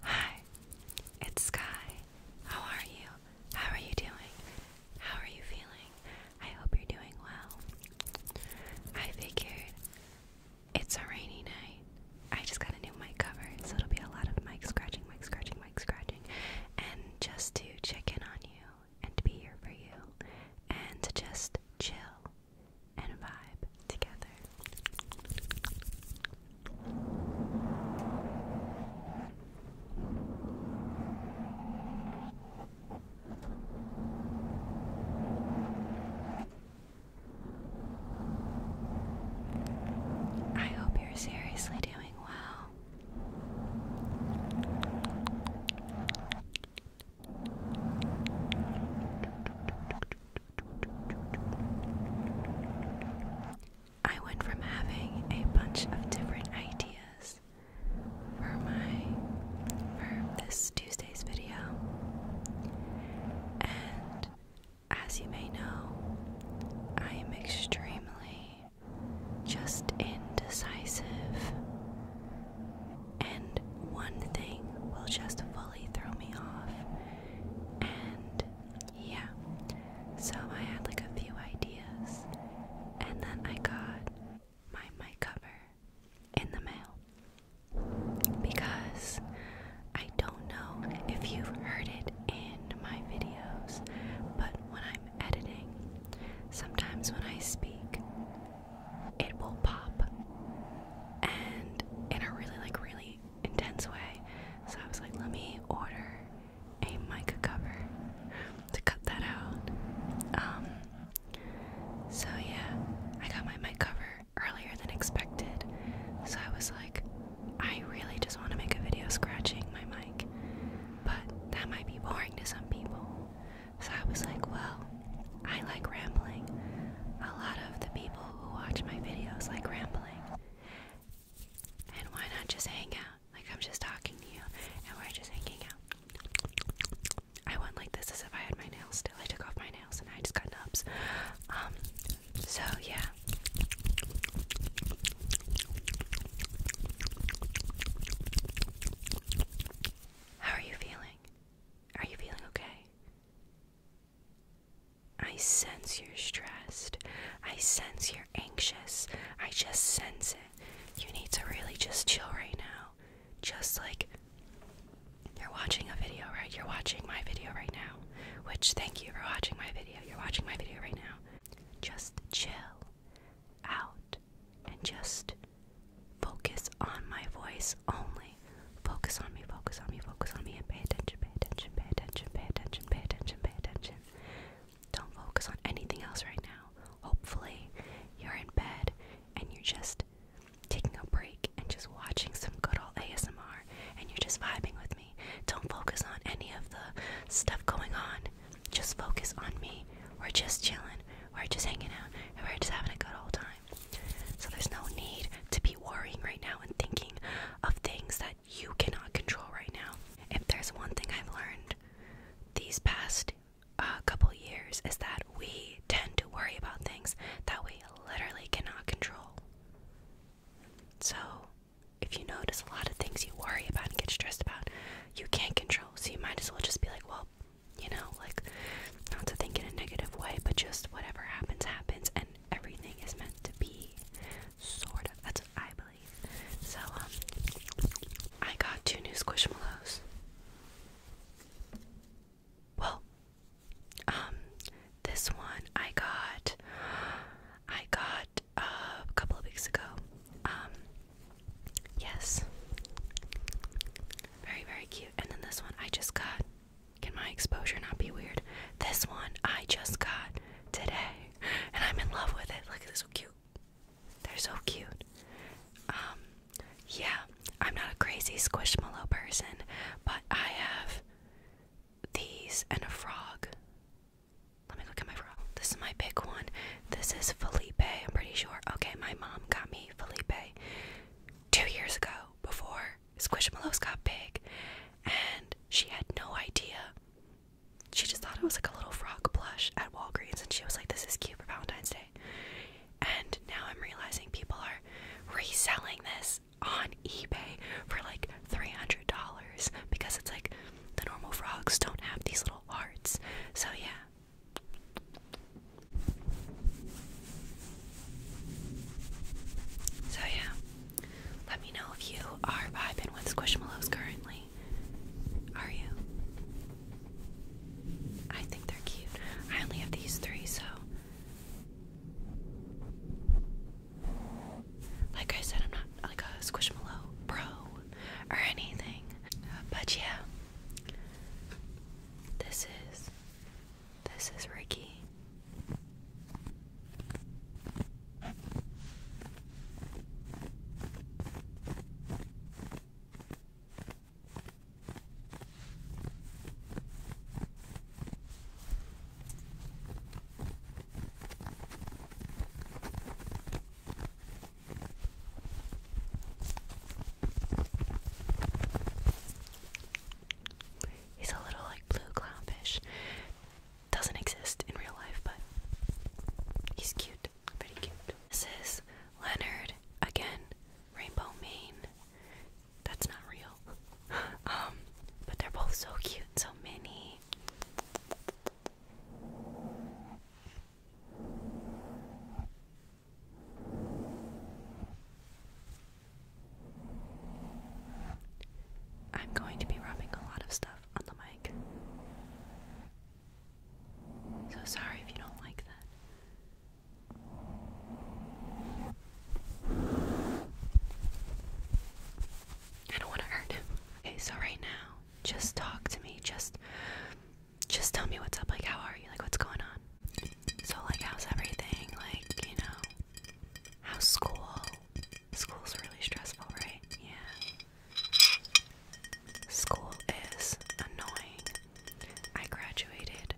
Hi, it's Sky. How are you? How are you doing? How are you feeling? I hope you're doing well. I figured it's a rainy night. I just got a new mic cover, so it'll be a lot of mic scratching, mic scratching, mic scratching, and just to check in on you and be here for you and to just chill and vibe together. I hope you're seriously doing well. I went from having a bunch of different ideas for my for this Tuesday's video. And as you may know, I am extremely just indecisive. And one thing will just fully throw me off, and yeah. So I had like a few ideas, and then I got my mic cover in the mail because I don't know if you've heard it in my videos, but when I'm editing, sometimes when I speak, it will pop, and in a really like really intense way. So I was like, let me order a mic cover to cut that out. Um, so yeah, I got my mic cover earlier than expected. So I was like, I really just want to make a video scratching my mic, but that might be boring to some people. So I was like, well, I like rambling. A lot of the people who watch my videos like rambling. And why not just hang out? Like I'm just talking to you and we're just hanging out. I went like this as if I had my nails still. I took off my nails and I just got nubs. Um so yeah. How are you feeling? Are you feeling okay? I sense you're stressed. I sense you're anxious. I just sense it. You need to really just chill right now. Just like you're watching a video, right? You're watching my video right now. Which, thank you for watching my video. You're watching my video right now. Just chill out and just focus on my voice only. Focus on me, focus on me, focus on me, and pay attention, pay attention, pay attention, pay attention, pay attention, pay attention. Don't focus on anything else right now. Hopefully, you're in bed and you're just taking a break and just watching some good old ASMR and you're just vibing with me. Don't focus on any of the stuff going on. Just focus on me. We're just chilling. We're just hanging out and we're just having a good old time. So there's no need to be worrying right now and thinking of things that you cannot control right now. If there's one thing I've learned these past uh, couple years is that we tend to worry about things that we literally cannot control. So if you notice a lot of things you worry about and get stressed about, you can't control. So you might as well just be like, well, you know, like not to think in a negative way, but just whatever happens, happens, and everything is meant to be. Sort of. That's what I believe. So, um, I got two new Squishmallows. Well, um, this one I got, I got uh, a couple of weeks ago. Um, yes. Very, very cute. And then this one I just got can my exposure not be weird? This one I just got today, and I'm in love with it. Look, they're so cute. They're so cute. Um, yeah, I'm not a crazy squishmallow person, but I have these and a frog. Let me look at my frog. This is my big one. This is Felipe, I'm pretty sure. Okay, my mom got me Felipe two years ago before Squishmallows got big, and she had no idea. She just thought it was like a little frog plush at Walgreens, and she was like, "This is cute for Valentine's Day." And now I'm realizing people are reselling this on eBay for like three hundred dollars because it's like the normal frogs don't have these little hearts. So yeah. So, yeah, let me know if you are vibing with Squishmallows currently. Are you? I think they're cute. I only have these three, so. Like I said, I'm not like a Squishmallow pro or anything. But yeah, this is this is Ricky. He's a little like blue clownfish. Doesn't exist in real life, but he's cute. Pretty cute. This is Leonard again, Rainbow Mane. That's not real. um, but they're both so cute, so many. I'm going to be rubbing a lot of stuff on the mic. So sorry if you don't like that. I don't want to hurt him. Okay, so right now, just talk to me. Just just tell me what's up. Like, how are you? Like, what's going on? So, like, how's everything? Like, you know, how's school? School's really stressful, right? Yeah. School is annoying. I graduated,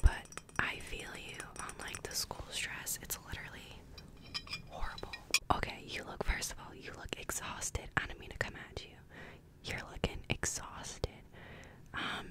but I feel you on like the school stress. It's literally horrible. Okay, you look, first of all, you look exhausted. I don't mean to come at you. You're looking exhausted. Um,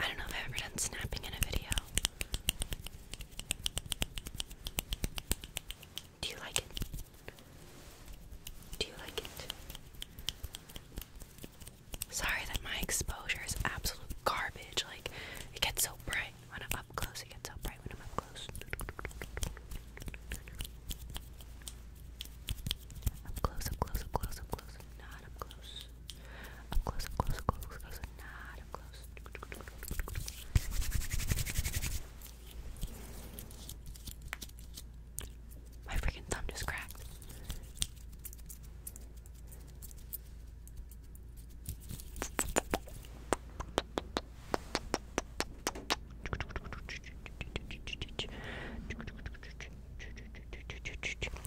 I don't know if I've ever done snapping in a video. Do you like it? Do you like it? Sorry that my exposure is absolute garbage. Like, it gets so bright on an up close see it's so bright when I'm up close. Up close, up close, up close, up close, not up close. Up close, up close, up close, up close, not up close. My freaking thumb just cracked.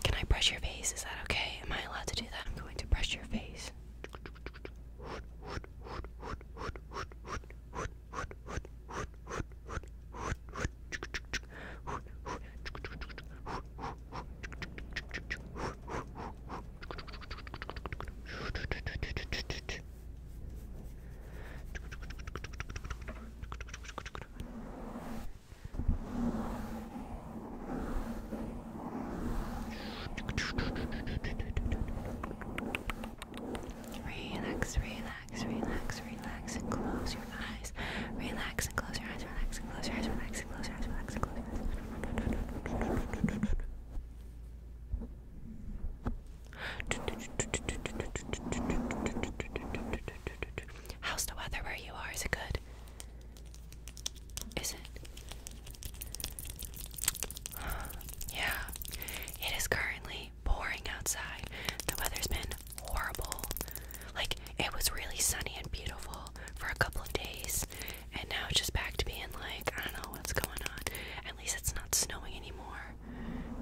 Can I brush your face? Is that okay? Am I allowed to do that? I'm going to brush your face. Relax, relax, relax, relax, and close your eyes. Relax and close your eyes, relax and close your eyes, relax and close your eyes, relax and close your eyes. How's the weather where you are? Is it good? Is it? Yeah, it is currently pouring outside. The weather's been horrible. Like, it was really sunny and beautiful for a couple of days, and now it's just back to being like, I don't know what's going on. At least it's not snowing anymore.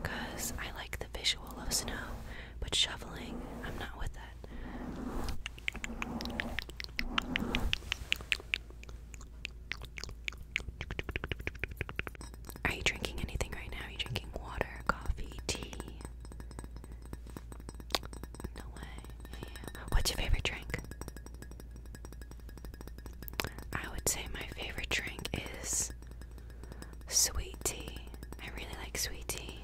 Because I like the visual of snow, but shoveling, I'm not with that. Are you drinking anything right now? Are you drinking water, coffee, tea? No way. What's your favorite drink? I would say my favorite drink is sweet tea. I really like sweet tea.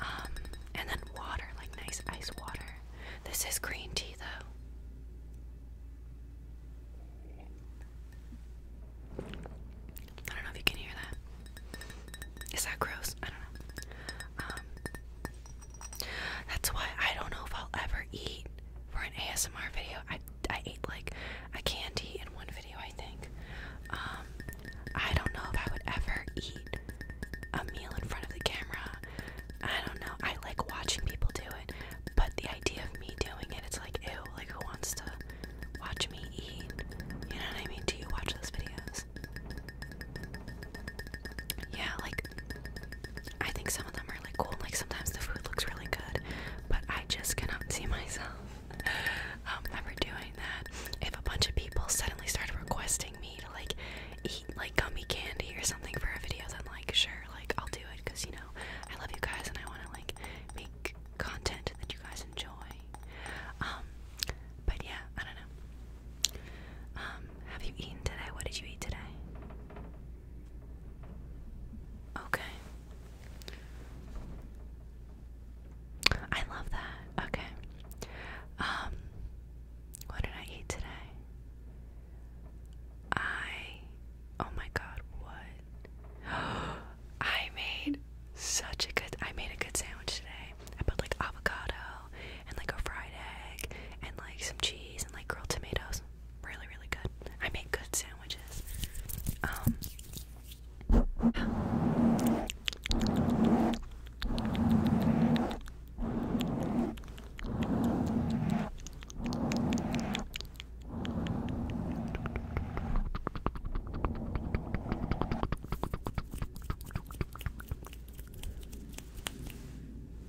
Um, and then water, like nice ice water. This is green tea though. I don't know if you can hear that. Is that gross? I don't know. Um, that's why I don't know if I'll ever eat for an ASMR video. I I ate like a candy in one video, I think. Um, I don't know if I would ever eat a meal in front of the camera. I don't know. I like watching people do it, but the idea of me doing it, it's like ew. Like who wants to watch me eat? You know what I mean? Do you watch those videos? Yeah, like I think some of them are really cool. Like sometimes the food looks really good, but I just cannot see myself um, ever doing that. If a bunch of people suddenly started requesting me to like eat like gummy candy or something for a video, then like sure, like I'll do it because you know I love you guys and I want to like make content that you guys enjoy. Um, but yeah, I don't know. Um, have you eaten today? What did you eat today? Okay. I love that. Okay. Um what did I eat today? I oh my god, what? I made such a good I made a good sandwich today. I put like avocado and like a fried egg and like some cheese and like grilled tomatoes really, really good. I make good sandwiches. Um,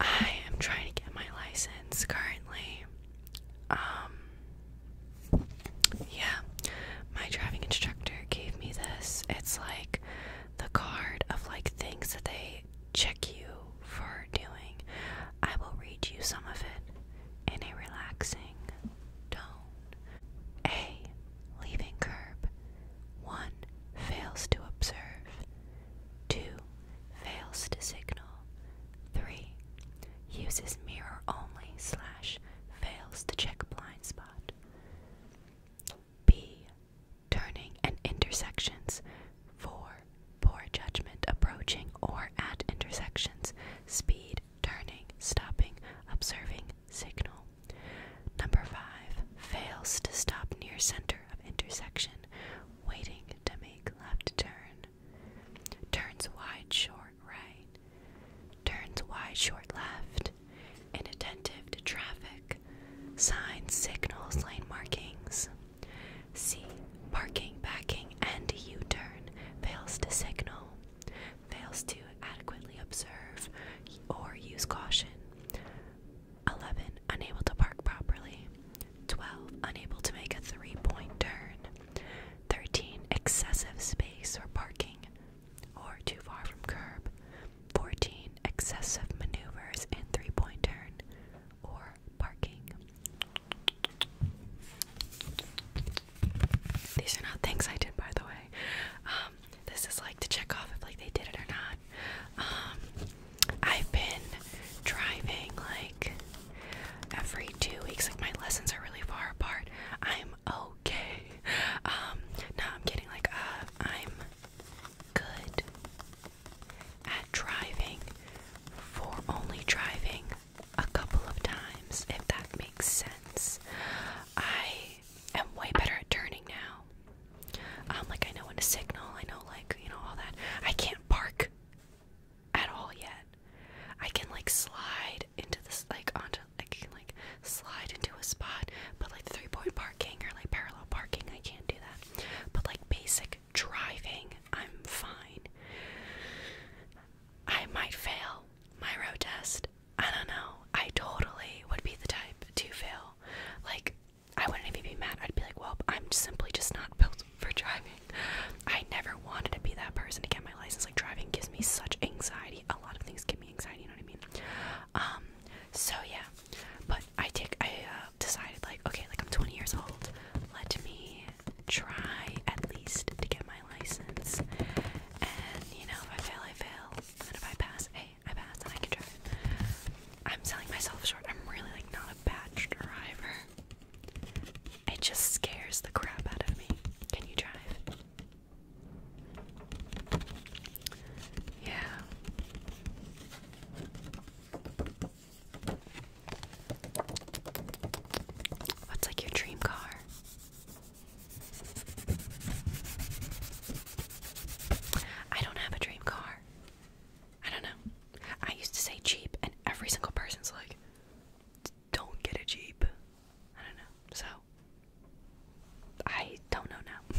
I am trying to get my license currently. Um yeah. My driving instructor gave me this. It's like the card of like things that they check you for doing. I will read you some of it in a relaxing tone. A leaving curb. One fails to observe. 2. Fails to signal. 3. Uses mirror only slash fails to check blind spot. B. Turning and intersections. 4. Poor judgment approaching or at intersections. Speed, turning, stopping, observing, signal. Number 5. Fails to stop near center of intersection waiting to make left turn. Turns wide, short right. Turns wide, short left. Inattentive to traffic. Signs, signals, lane markings. See Parking, backing, and U turn. Fails to signal. Fails to adequately observe or use caution. 11. Unable to park properly. 12. Unable to make a three point turn. 13. Excessive space or parking or too far from curb. 14. Excessive maneuvers in three point turn or parking. These are not things I did, by the way. Um, this is like to check off if like they did it or not. Um, I've been driving like every two weeks. Like my lessons are really far apart. I'm okay. Um, no, I'm getting Like, uh, I'm good at driving for only driving a couple of times, if that makes sense. I am way better at turning now. Um, like I know when to signal, I know like, you know, all that. I can't park at all yet. I can like slide into this like onto I can like slide into a spot, but like three point parking or like parallel parking, I can't do that. But like basic driving, I'm fine. I might fail my road test. I don't know. I totally would be the type to fail. Like I wouldn't even be mad. I'd be like, well, I'm simply just not built for driving. I never wanted to be that person to get my license. Like driving gives me such anxiety. A lot of things give me anxiety. You know what I mean? Um. So yeah, but I take. I uh, decided like, okay, like I'm 20 years old. Let me try at least to get my license. And you know, if I fail, I fail. And if I pass, hey, okay, I passed and I can drive. I'm selling myself short. I'm really like not a batch driver. It just scares the crap out of me. Can you drive? Yeah. What's like your dream car? I don't have a dream car. I don't know. I used to say cheap, and every single person's like, don't get a Jeep. I don't know. So, I don't know now.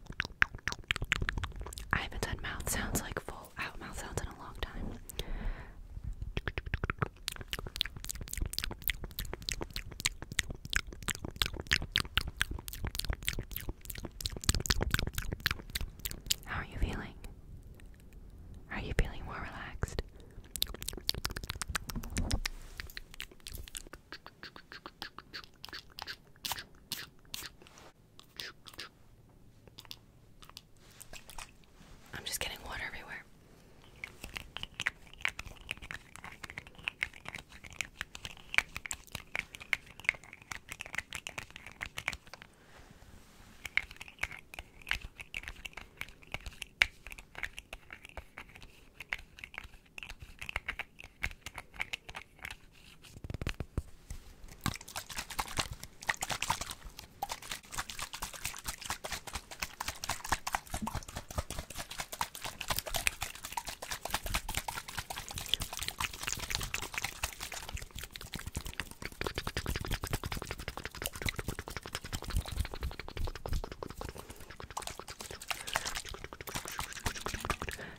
I haven't done mouth sounds like full out mouth sounds in a long time. How are you feeling? Are you feeling more relaxed? I'm just getting water everywhere.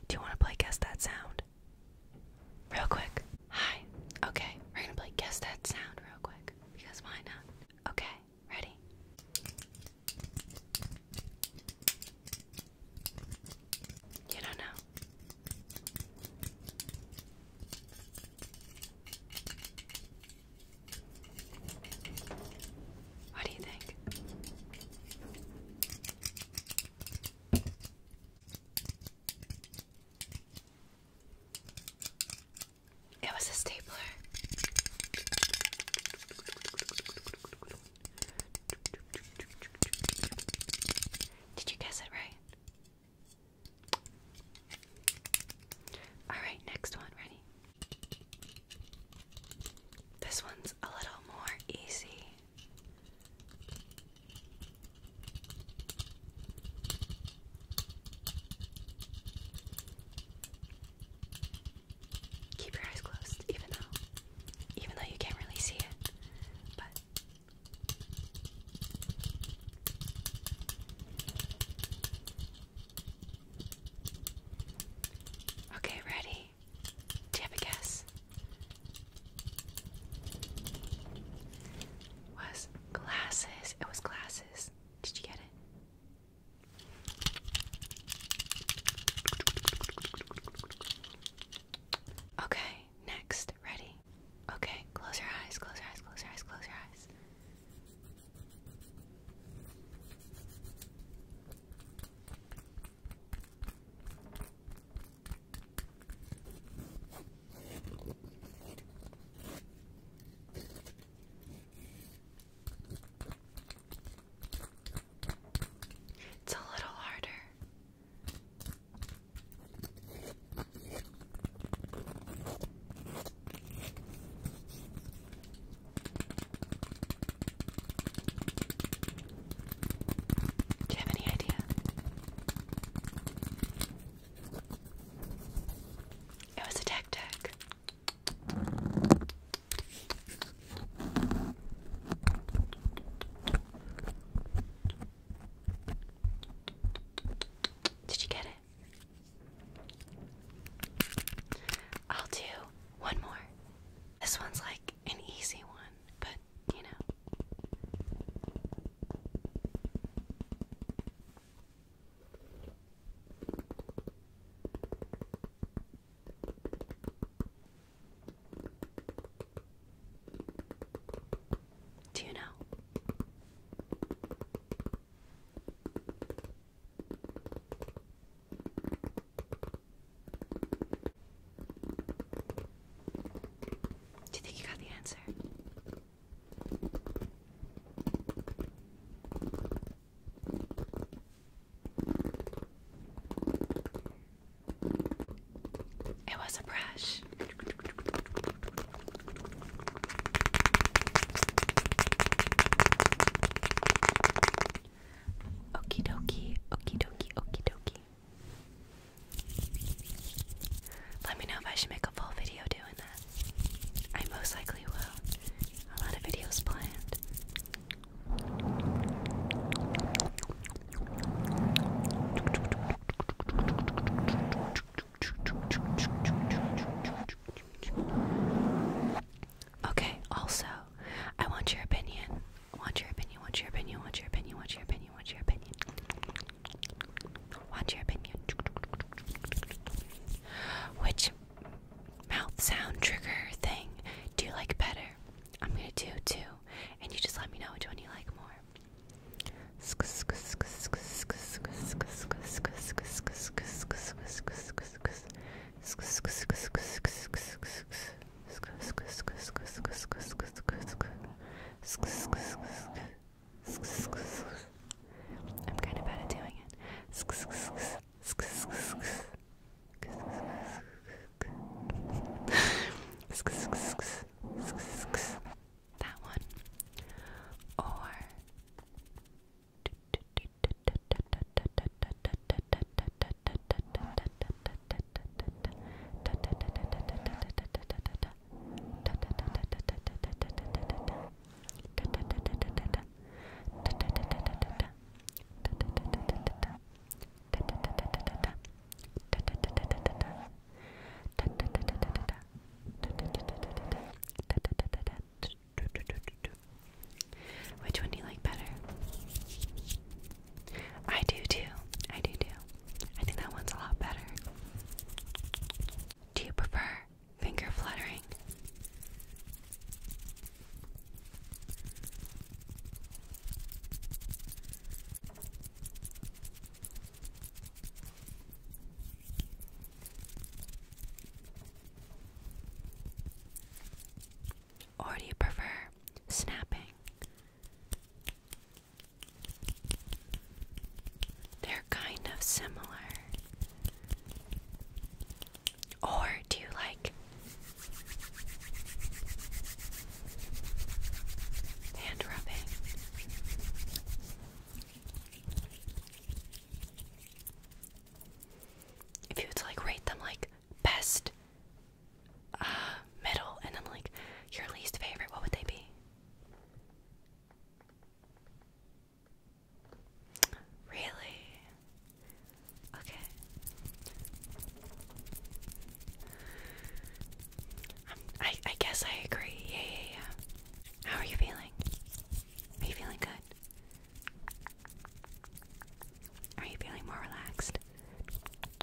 Do you want to play guess that sound? Real quick. Hi. Okay, we're gonna play Guess That Sound real quick. Because why not? Okay, ready? You don't know. What do you think? It was a stapler. Did you guess it right? Alright, next one. Ready? This one's a little more easy. Keep your eyes closed, even though, even though you can't really see it, but. Okay, ready? Do you have a guess? was glasses. It was glasses. Did you get it? Okay, next. Ready? Okay, close your eyes, close your eyes, close your eyes, close your eyes. It's a little harder. Do you have any idea? It was a tactic. Did you get it? I'll do one more. This one's like an easy one but you know. Do you know? Do you think you got the answer? It was a brush. Okie dokie, okie dokie, okie dokie. Let me know if I should make a full video doing that. I most likely will. A lot of videos planned. Okay, also, I want your opinion. want your opinion, want your opinion, want your opinion, want your opinion opinion? your opinion? What's your opinion? Which mouth sound trigger thing do you like better? I'm gonna do two, and you just let me know which one you like more. I'm kind of bad at doing it. That one. Or which one do you like better? I do too. I do too. I think that one's a lot better. Do you prefer finger fluttering? Or do you prefer snapping? They're kind of similar. Or do you like hand rubbing? If you would like rate them like best, uh, middle, and then like your least favorite, what would they be? Really? Okay. Um, I I guess I agree. Yeah, yeah, yeah. How are you feeling? Are you feeling good? Are you feeling more relaxed?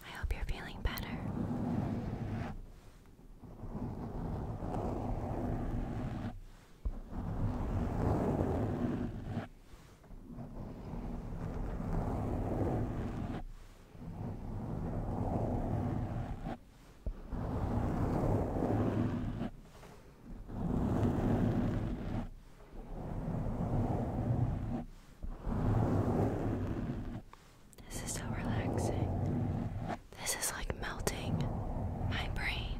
I hope you're feeling better. This is so relaxing. This is like melting my brain.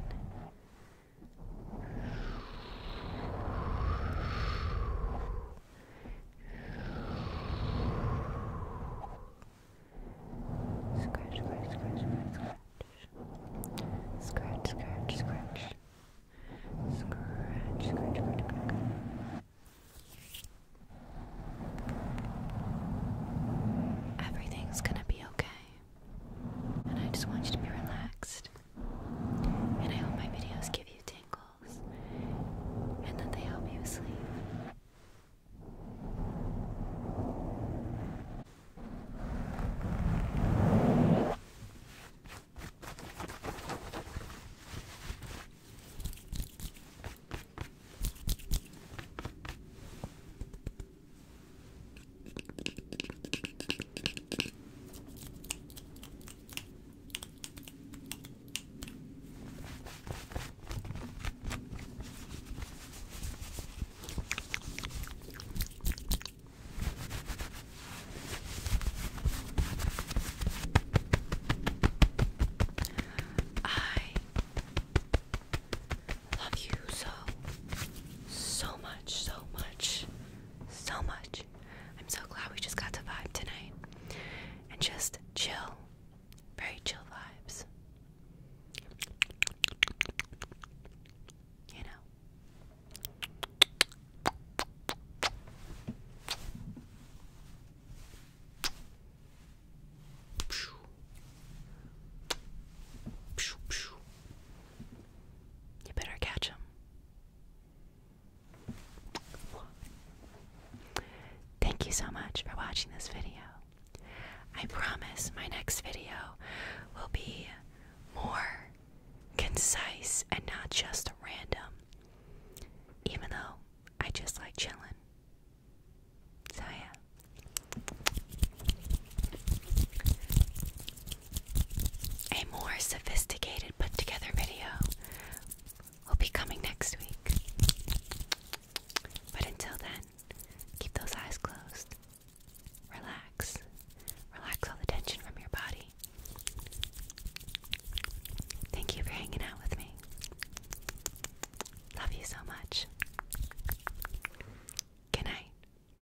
Scratch, scratch, scratch, scratch, scratch, scratch, scratch, scratch, scratch, scratch, Everything's gonna be okay. And I just want you to be relaxed. And I hope my videos give you tingles and that they help you sleep. I love you so, so much, so much so much. I'm so glad we just got to vibe tonight and just chill. Very chill vibes. You know. You better catch him. Thank you so much for watching this video. I promise my next video will be more concise and not just random, even though I just like chilling. So, yeah. A more sophisticated put together video will be coming next week. But until then, keep those eyes closed. Relax. Relax all the tension from your body. Thank you for hanging out with me. Love you so much. Good night.